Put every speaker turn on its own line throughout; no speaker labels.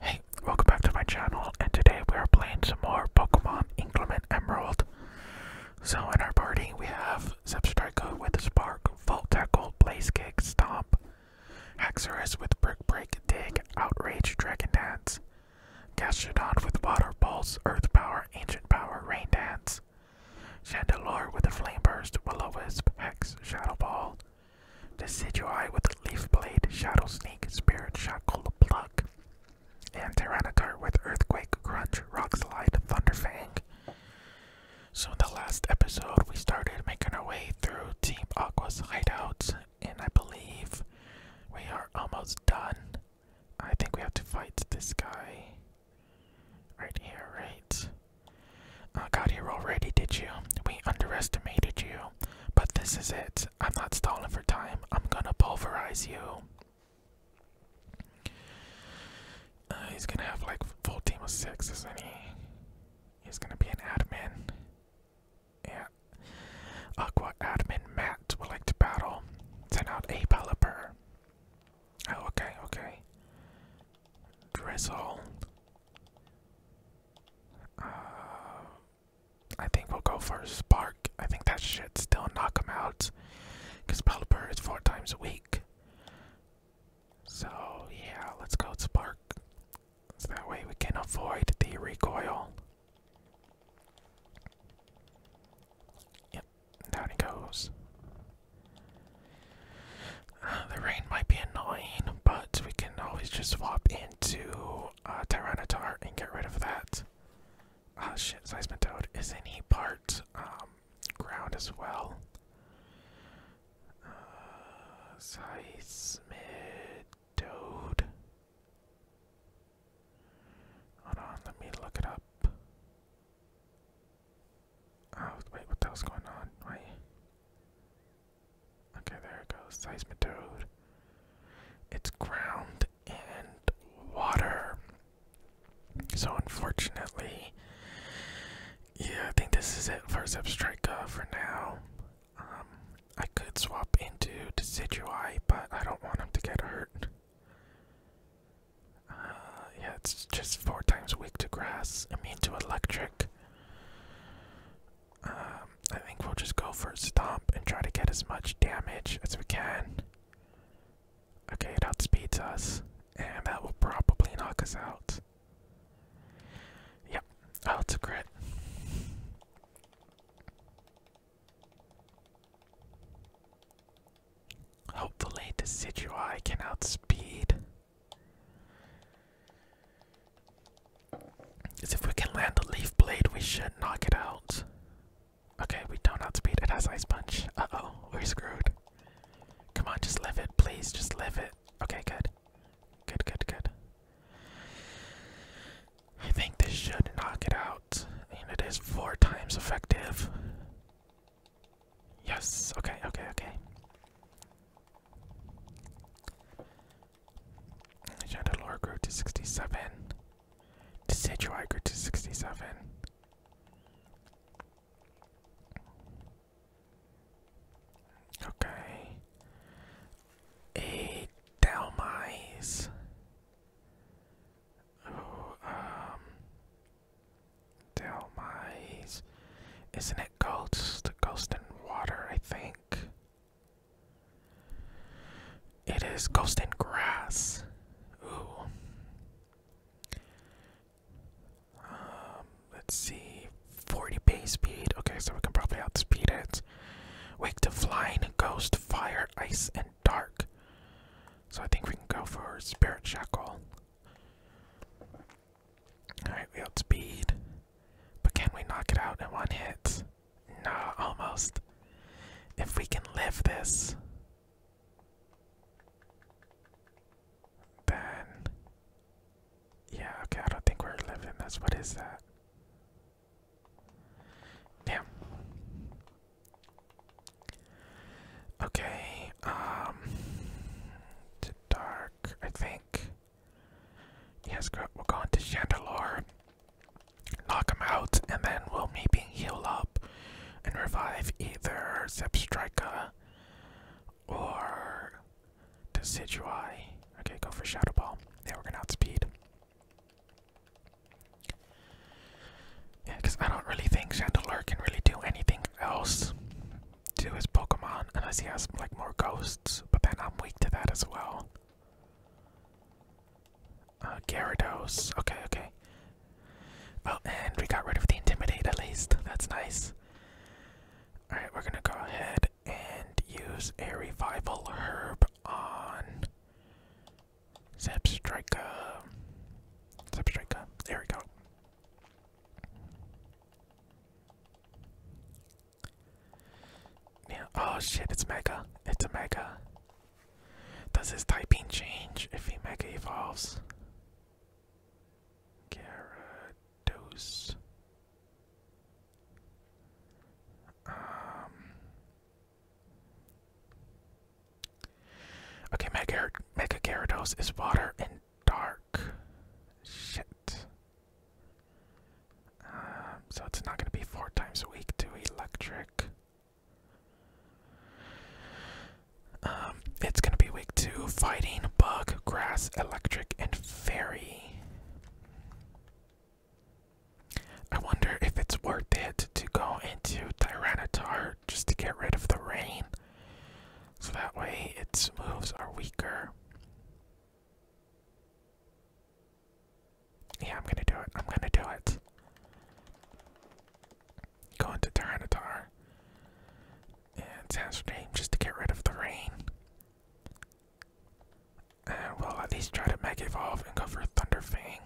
Hey, welcome back to my channel, and today we are playing some more Pokemon Inclement Emerald. So in our party, we have Zepstrika with Spark, Volt Blaze Kick, Stomp, Haxorus with Brick Break, Dig, Outrage, Dragon Dance, Gastrodon with Water Pulse, Earth Power, Ancient Power, Rain Dance, Chandelure with Flame Burst, Will-O-Wisp, Hex, Shadow Ball, Decidueye with Leaf Blade, Shadow Sneak, Spirit Shackle, Pluck, and Tyranitar with Earthquake, Crunch, rockslide Slide, Thunderfang. So in the last episode, we started making our way through Team Aqua's hideouts, and I believe we are almost done. I think we have to fight this guy right here, right? Oh God, you already, did you? We underestimated you. But this is it. I'm not stalling for time. I'm gonna pulverize you. Uh, he's gonna have like full of six, he? He's gonna be an admin. Yeah. Aqua admin Matt would like to battle. Send out a Oh, okay, okay. Drizzle. Uh, I think we'll go for Spark. I think that should still knock him out. Because Pelipper is four times a week. So, yeah, let's go Spark. So that way we can avoid the recoil. Yep, there he goes. Uh, the rain might be annoying, but we can always just swap into kill uh, and get rid of that. oh, shit, Seismitoad is any part um, ground as well. Uh, Hold on, let me look it up. Oh wait, what the hell's going on? Wait. Okay, there it goes. Seismitoad. It's ground and water. So unfortunately, yeah, I think this is it for Zepstrika uh, for now. Um, I could swap into Decidueye, but I don't want him to get hurt. Uh, yeah, it's just four times weak to grass, immune to electric. Um, I think we'll just go for a stomp and try to get as much damage as we can. Okay, it outspeeds us, and that will probably knock us out. Yep, oh, it's a crit. Hopefully, Decidueye can outspeed. Is if we can land the leaf blade, we should knock it out. Okay, we don't have speed. It has ice punch. Uh oh, we're screwed. Come on, just live it, please. Just live it. Okay, good. Good, good, good. I think this should knock it out. And it is four times effective. Yes, okay, okay, okay. Chandelure grew to 67. Decidueye grew to 67. Okay. A Dalmise. um. Dalmise. Isn't it Ghost? Ghost in Water, I think. It is Ghost in Grass. Um, let's see. 40 base speed. Okay, so we can probably outspeed it. Wake to Flying, Ghost, Fire, Ice, and Dark. So I think we can go for Spirit Shackle. Alright, we speed. But can we knock it out in one hit? almost. almost. If we can live this, then. Yeah, okay, I don't think we're living this. What is that? Damn. Okay, um. dark, I think. Yes, go, we're going to Chandelure. Knock him out, and then we'll maybe heal up and revive either Zepstrika or Decidueye. Okay, go for Shadow Ball. Yeah, we're gonna outspeed. Yeah, because I don't really think Chandelure can really do anything else to his Pokemon unless he has like more ghosts, but then I'm weak to that as well. Uh, Gyarados. Okay, okay. Oh, and we got rid of the Intimidate at least. That's nice. Alright, we're gonna go ahead and use a Revival Herb on Zepstrika. Zepstrika. There we go. Yeah. Oh shit! It's Mega. It's a Mega. Does his typing change if he Mega evolves? Gyarados. Um. Okay, Mega Mega Gyarados is water and dark. Shit. Um, so it's not going to be four times a week to electric. Um, it's going to be week two fighting, bug, grass, electric, and fairy. I wonder if it's worth it to go into Tyranitar just to get rid of the rain. So that way its moves are weaker. Yeah, I'm gonna do it. I'm gonna do it. Go into Tyranitar. And Sandstorm just to get rid of the rain. Uh, we'll at least try to Mega Evolve and go for Thunder Fang.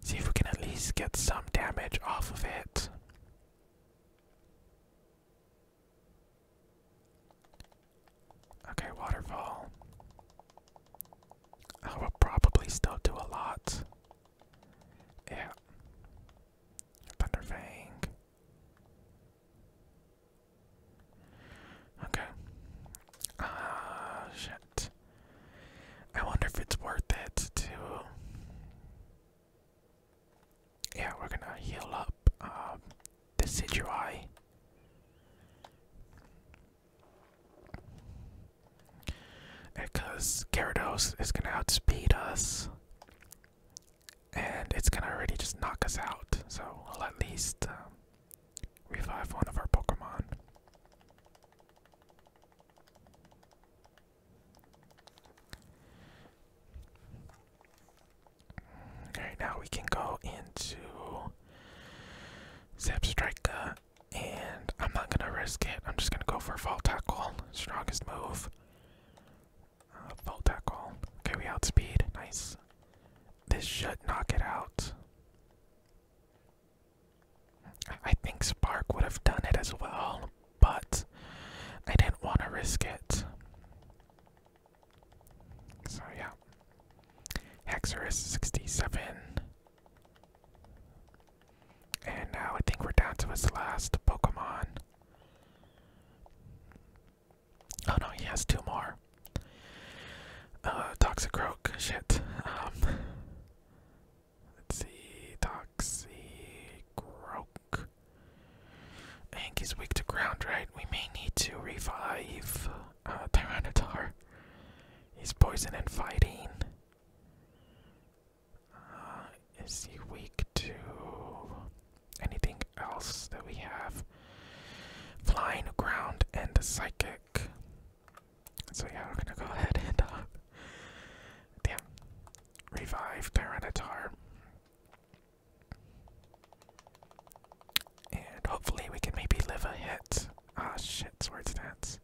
See if we can at least get some damage off of it. Okay, waterfall. I will probably still do a lot. Yeah. Thunderfang. Okay. Ah, shit. I wonder if it's worth it to. Yeah, we're gonna heal up um, the Decidueye. Because Gyarados is gonna outspeed us, and it's gonna already just knock us out. So we'll at least um, revive one of our Pokemon. Alright, now we can go into Zap strike, and I'm not gonna risk it. I'm just gonna go for a Vault Tackle, strongest move. Uh, Vault Tackle. Okay, we outspeed. Nice. This should knock it out. I think Spark would have done it as well, but I didn't want to risk it. So yeah. Hexer 67. And now I think we're down to his last Pokemon. Oh no, he has two more. Uh, Toxicroak, shit. Um, let's see, Toxicroak. I think he's weak to ground, right? We may need to revive uh, He's poison and fighting. Uh, is he weak to anything else that we have? Flying, ground, and psychic. So yeah, I'm gonna go ahead and uh, damn, revive Tyranitar. And hopefully we can maybe live a hit. Ah shit, sword stance.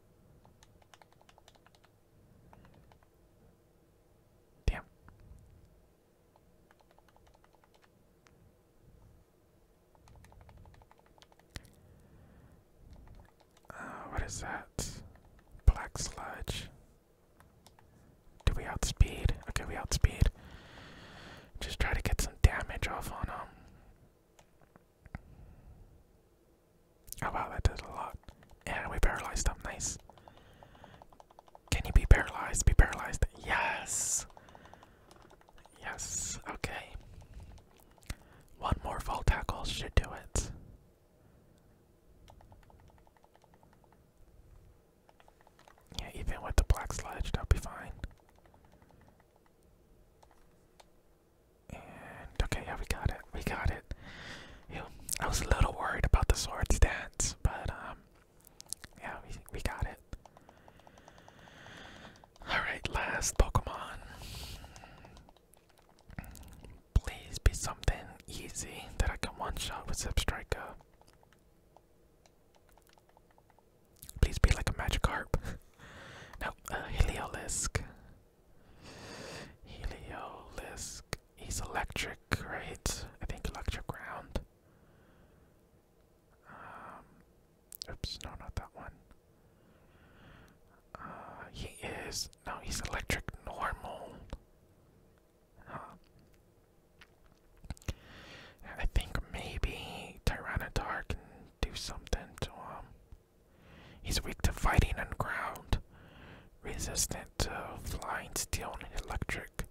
Damn. Uh, what is that? Black sludge. Do we outspeed? Okay, we outspeed. Just try to get some damage off on him. Oh wow, that did a lot. And we paralyzed them, nice. Can you be paralyzed? Be paralyzed. Yes! Yes, okay. One more full tackle should do it. Yeah, even with the black sludge, that'll be fine. And okay, yeah, we got it. We got it. I was a little worried about the sword stance, but um, yeah, we we got it. All right, last Pokemon. Please be something easy that I can one shot with Zip Please be like a Magikarp. no, uh, Heliolisk. Heliolisk. He's electric, right? I think electric ground. Um, oops, no, not that one. Uh, he is. No, he's electric normal. I think maybe Tyranitar do something to him. He's weak to fighting on ground, resistant to flying, steel, and electric.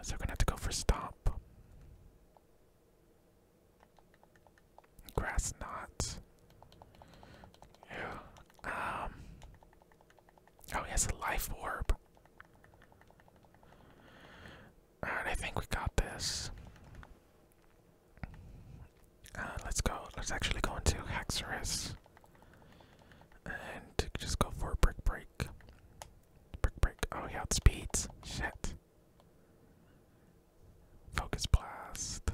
So we're gonna have to go for stomp. Grass knots. Yeah. Um. Oh, he has a life orb. Alright, I think we got this. Uh, let's go. Let's actually go into Hexorus. And just go for a brick break. Brick break. Oh, he outspeeds. Shit. Focus blast.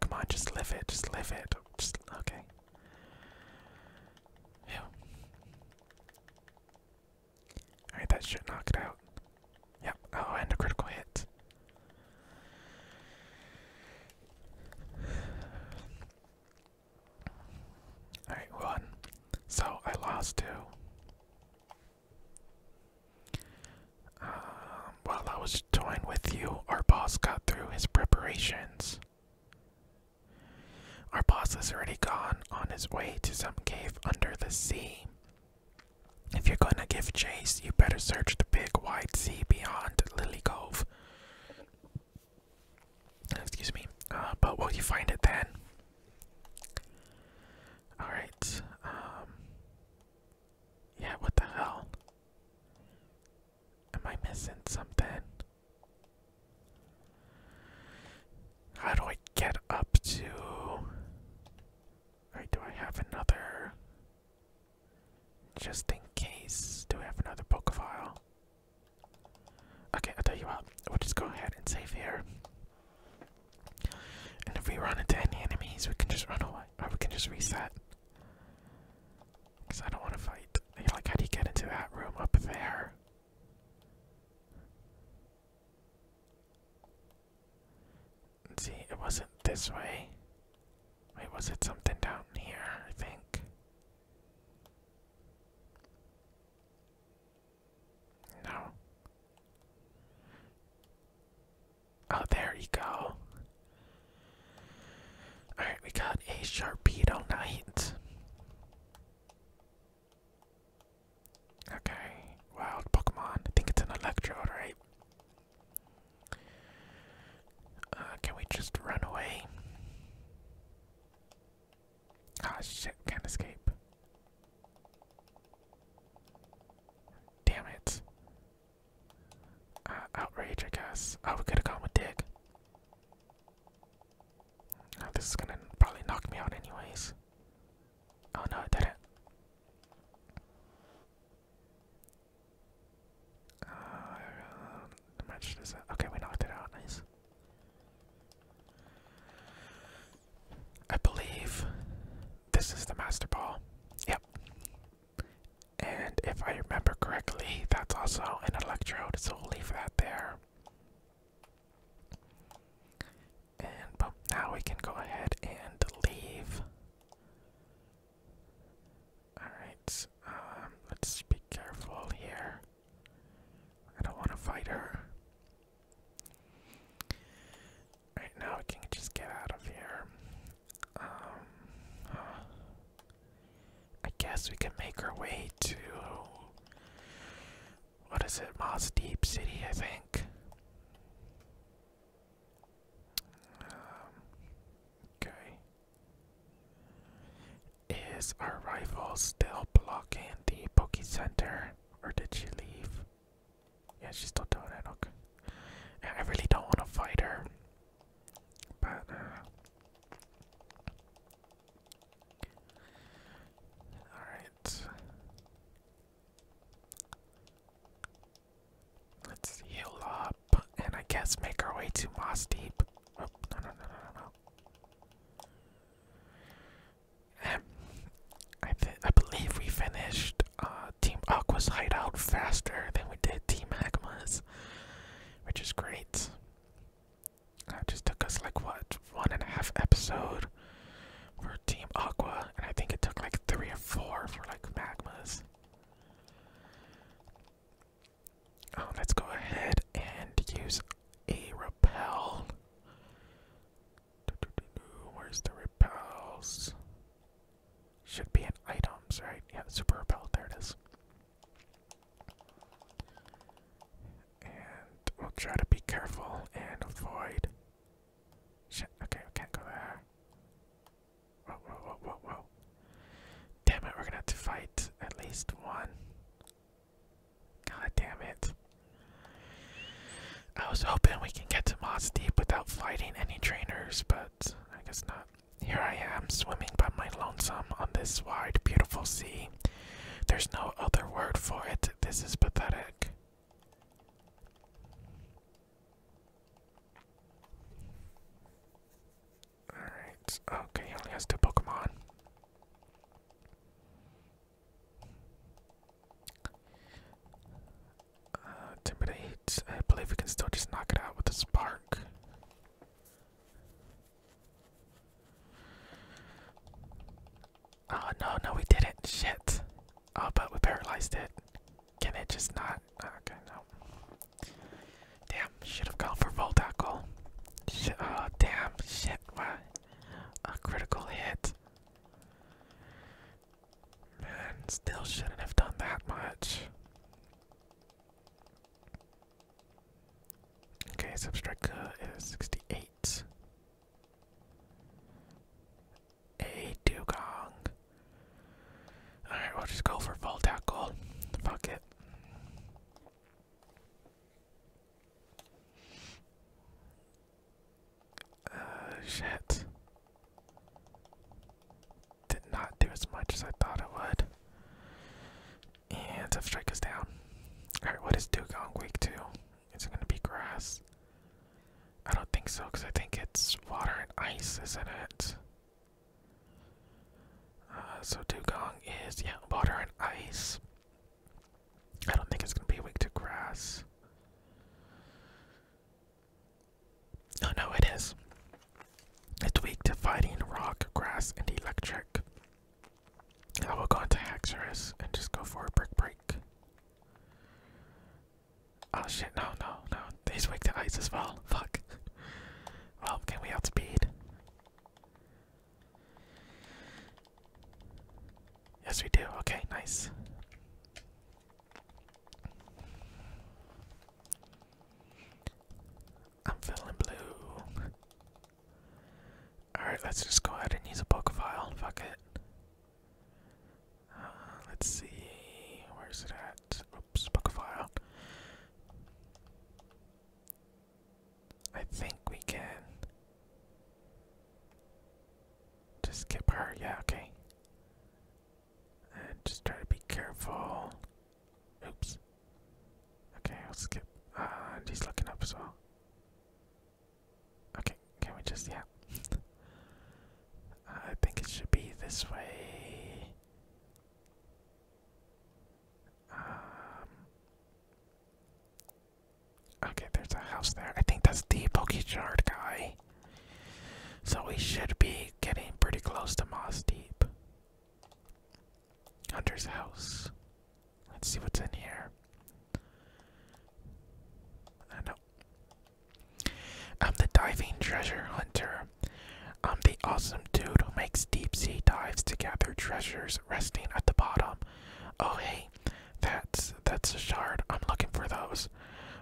Come on, just live it. Just live it. Just okay. Yeah. Alright, that should knock it out. Yep. Oh, and a critical hit. Alright, one. So I lost two. Um, while I was toying with you, our boss got through his preparations. Our boss has already gone on his way to some cave under the sea. If you're gonna give chase, you better search the big wide sea beyond Lily Cove. Excuse me. Uh, but will you find it then? Alright. Um, yeah, what the hell? Am I missing something? How do I get up to Alright, do I have another? Just in case, do I have another book file? Okay, I'll tell you what, we'll just go ahead and save here. And if we run into any enemies, we can just run away, or we can just reset. Because I don't want to fight. Like, how do you get into that room up there? See, it wasn't this way. Wait, was it something down here? I think. No. Oh, there you go. Alright, we got a Sharpedo Knight. Okay, wild Pokemon. I think it's an Electrode, right? Uh, can we just run away? Oh shit, can't escape. Damn it. Uh, outrage, I guess. Oh, we could have gone with Dig. Oh, this is gonna probably knock me out, anyways. Oh no, it didn't. Uh, how much does that? Okay, we knocked it out. Nice. I believe this is the Master Ball. Yep. And if I remember correctly, that's also an electrode, so we'll leave that there. And now we can go ahead and leave. Alright, um, let's be careful here. I don't want to fight her. Right now, we can just get out of here. Um, I guess we can make our way to what is it, Moss Deep City, I think. Um, okay. Is our rival still blocking the Poke Center, or did she leave? Yeah, she's still doing it. Okay. I really don't want to fight her, but. Uh, Alright. Let's heal up and I guess make our way to Moss Deep. Oh, no, no, no, no, no, no. I, I believe we finished uh, Team Aqua's hideout faster than we did Team Magma's, which is great. That just took us like what, one and a half episode for Team Aqua, and I think it took like three or four for like magmas. Oh, let's go ahead and use a repel. Where's the repels? Should be in items, right? Yeah, super repel. There it is. And we'll try to be careful and avoid Shit, okay, we can't go there. Whoa, whoa, whoa, whoa, whoa. Damn it, we're gonna have to fight at least one. God damn it. I was hoping we can get to Moss Deep without fighting any trainers, but I guess not. Here I am, swimming by my lonesome on this wide, beautiful sea. There's no other word for it. This is pathetic. Alright, okay, he only has two Pokemon. Uh, I believe we can still just knock it out with a spark. Oh no, no, we didn't. Shit. Oh, but we paralyzed it. Can it just not? Okay, no. Damn, should have gone for full tackle. oh, uh, damn, shit, what? A critical hit. Man, still shouldn't have done that much. Okay, subtract uh, is 68 a dugong. Alright, we'll just go for full tackle. Fuck it. Uh, shit. Did not do as much as I thought it would. And tough strike is down. Alright, what is Dugong weak to? It's gonna be grass? I don't think so, because I think it's water and ice, isn't it? Uh, so dugong is, yeah, water and ice. I don't think it's going to be weak to grass. Oh no, it is. It's weak to fighting rock, grass, and electric. I will go into Haxorus and just go for a brick break. Oh shit, no, no, no. He's weak to ice as well. Fuck. well, can we outspeed? Yes, we do. Okay, nice. I'm feeling blue. Alright, let's just go ahead and use a book file. Fuck it. Uh, let's see, where's it at? Oops, book file. I think we can just skip her. Yeah, okay. And just try to be careful. Oops. Okay, I'll skip. Uh, and looking up as well. Okay. Can, we just, yeah. I think it should be this way. Um, okay, there's a house there. I think that's the Pokechard guy. So we should be getting pretty close to Moss Deep. Hunter's house. Let's see what's in here. I know I'm the diving treasure hunter. I'm the awesome dude who makes deep sea dives to gather treasures resting at the bottom. Oh hey, that's that's a shard. I'm looking for those.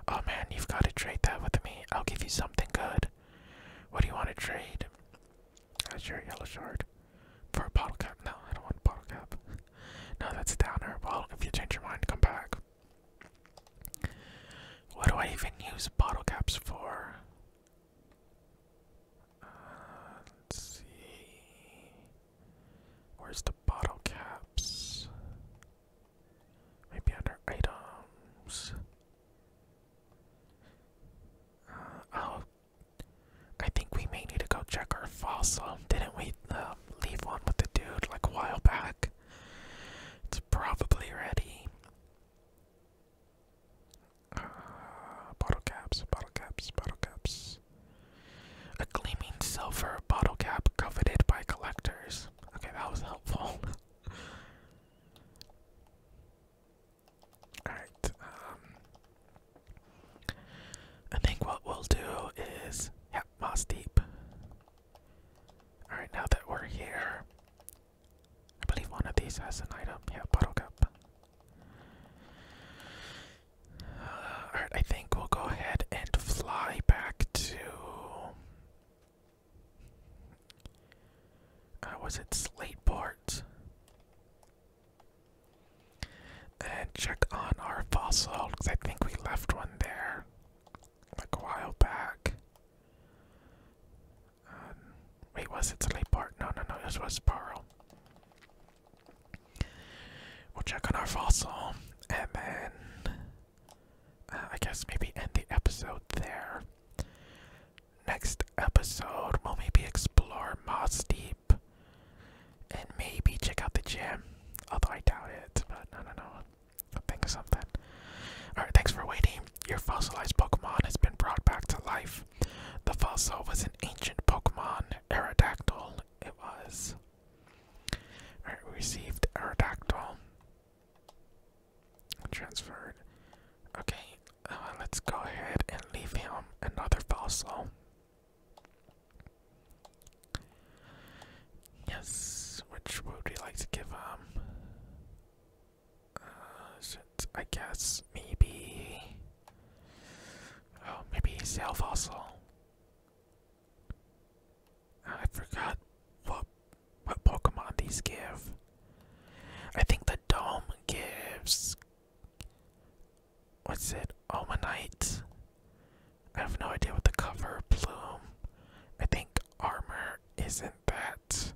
Oh man, you've got to trade that with me. I'll give you something good. What do you want to trade? That's your yellow shard. For a bottle cap. No, I don't want bottle cap. No, that's a downer. Well, if you change your mind, come back. What do I even use bottle caps for? Uh, let's see. Where's the bottle caps? Maybe under items. Uh, oh, I think we may need to go check our fossil. Didn't we uh, leave one with the dude like a while back? it's probably ready. Uh, bottle caps, bottle caps, bottle caps. A gleaming silver bottle cap coveted by collectors. Okay, that was helpful. Alright, um. I think what we'll do is. Yep, Moss Deep. Alright, now that we're here, I believe one of these has an item. Yeah, bottle cup. Uh, Alright, I think we'll go ahead and fly back to. Uh, was it Slateport? And check on our fossil, because I think we left one there like a while back. Um, wait, was it Slayport? No, no, no, this was Sparrow. We'll check on our fossil, and then uh, I guess maybe end the episode there. Next episode, we'll maybe explore Moss Deep, and maybe check out the gym. Although I doubt it, but no, no, no. Think of something. Alright, thanks for waiting. Your fossilized Pokemon has been brought back to life. The fossil was an ancient Pokemon, Aerodactyl. It was. Alright, received Aerodactyl. Transferred. Okay, uh, let's go ahead and leave him another fossil. Yes, which would we like to give him? Um, uh, I guess maybe. Oh, maybe Sail Fossil. I forgot what what Pokemon these give. I think the Dome gives. What's it? Omanite. I have no idea what the cover plume. I think armor isn't that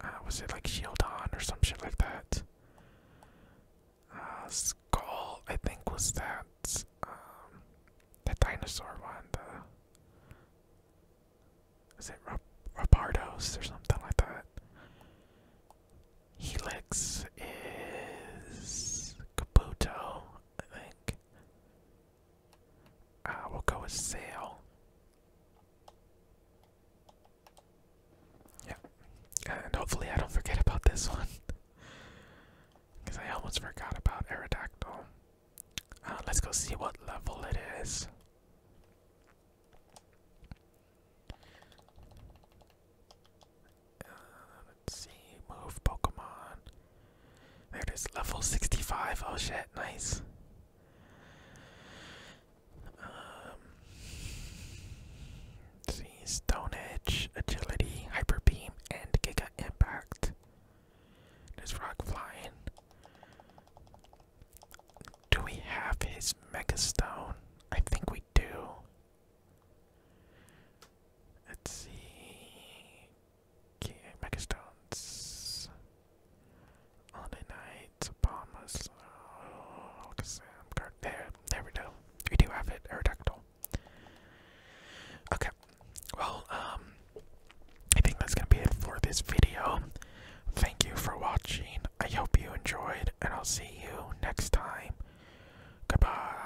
uh, was it like Shield on or some shit like that? Uh, Skull, I think was that um, The dinosaur one. is it Rap Rapardos or something like that? Helix is Kabuto, I think. Uh, we'll go with sail. Yeah, and hopefully I don't forget about this one, because I almost forgot about Aerodactyl. Uh, let's go see what level it is. Uh, let's see, move Pokemon. There it is, level 65. Oh shit, nice. Um, see, Stone Edge, Agility, Hyper Beam, and Giga Impact. There's Rock Flying. Do we have his Mega Stone? I think we do. Let's see. King Megastones. Holiday Night, Palmas, oh, card. There, there we go. We do have it, Aerodactyl. Okay, well, um, I think that's gonna be it for this video. Thank you for watching. I hope you enjoyed, and I'll see you next time. Goodbye.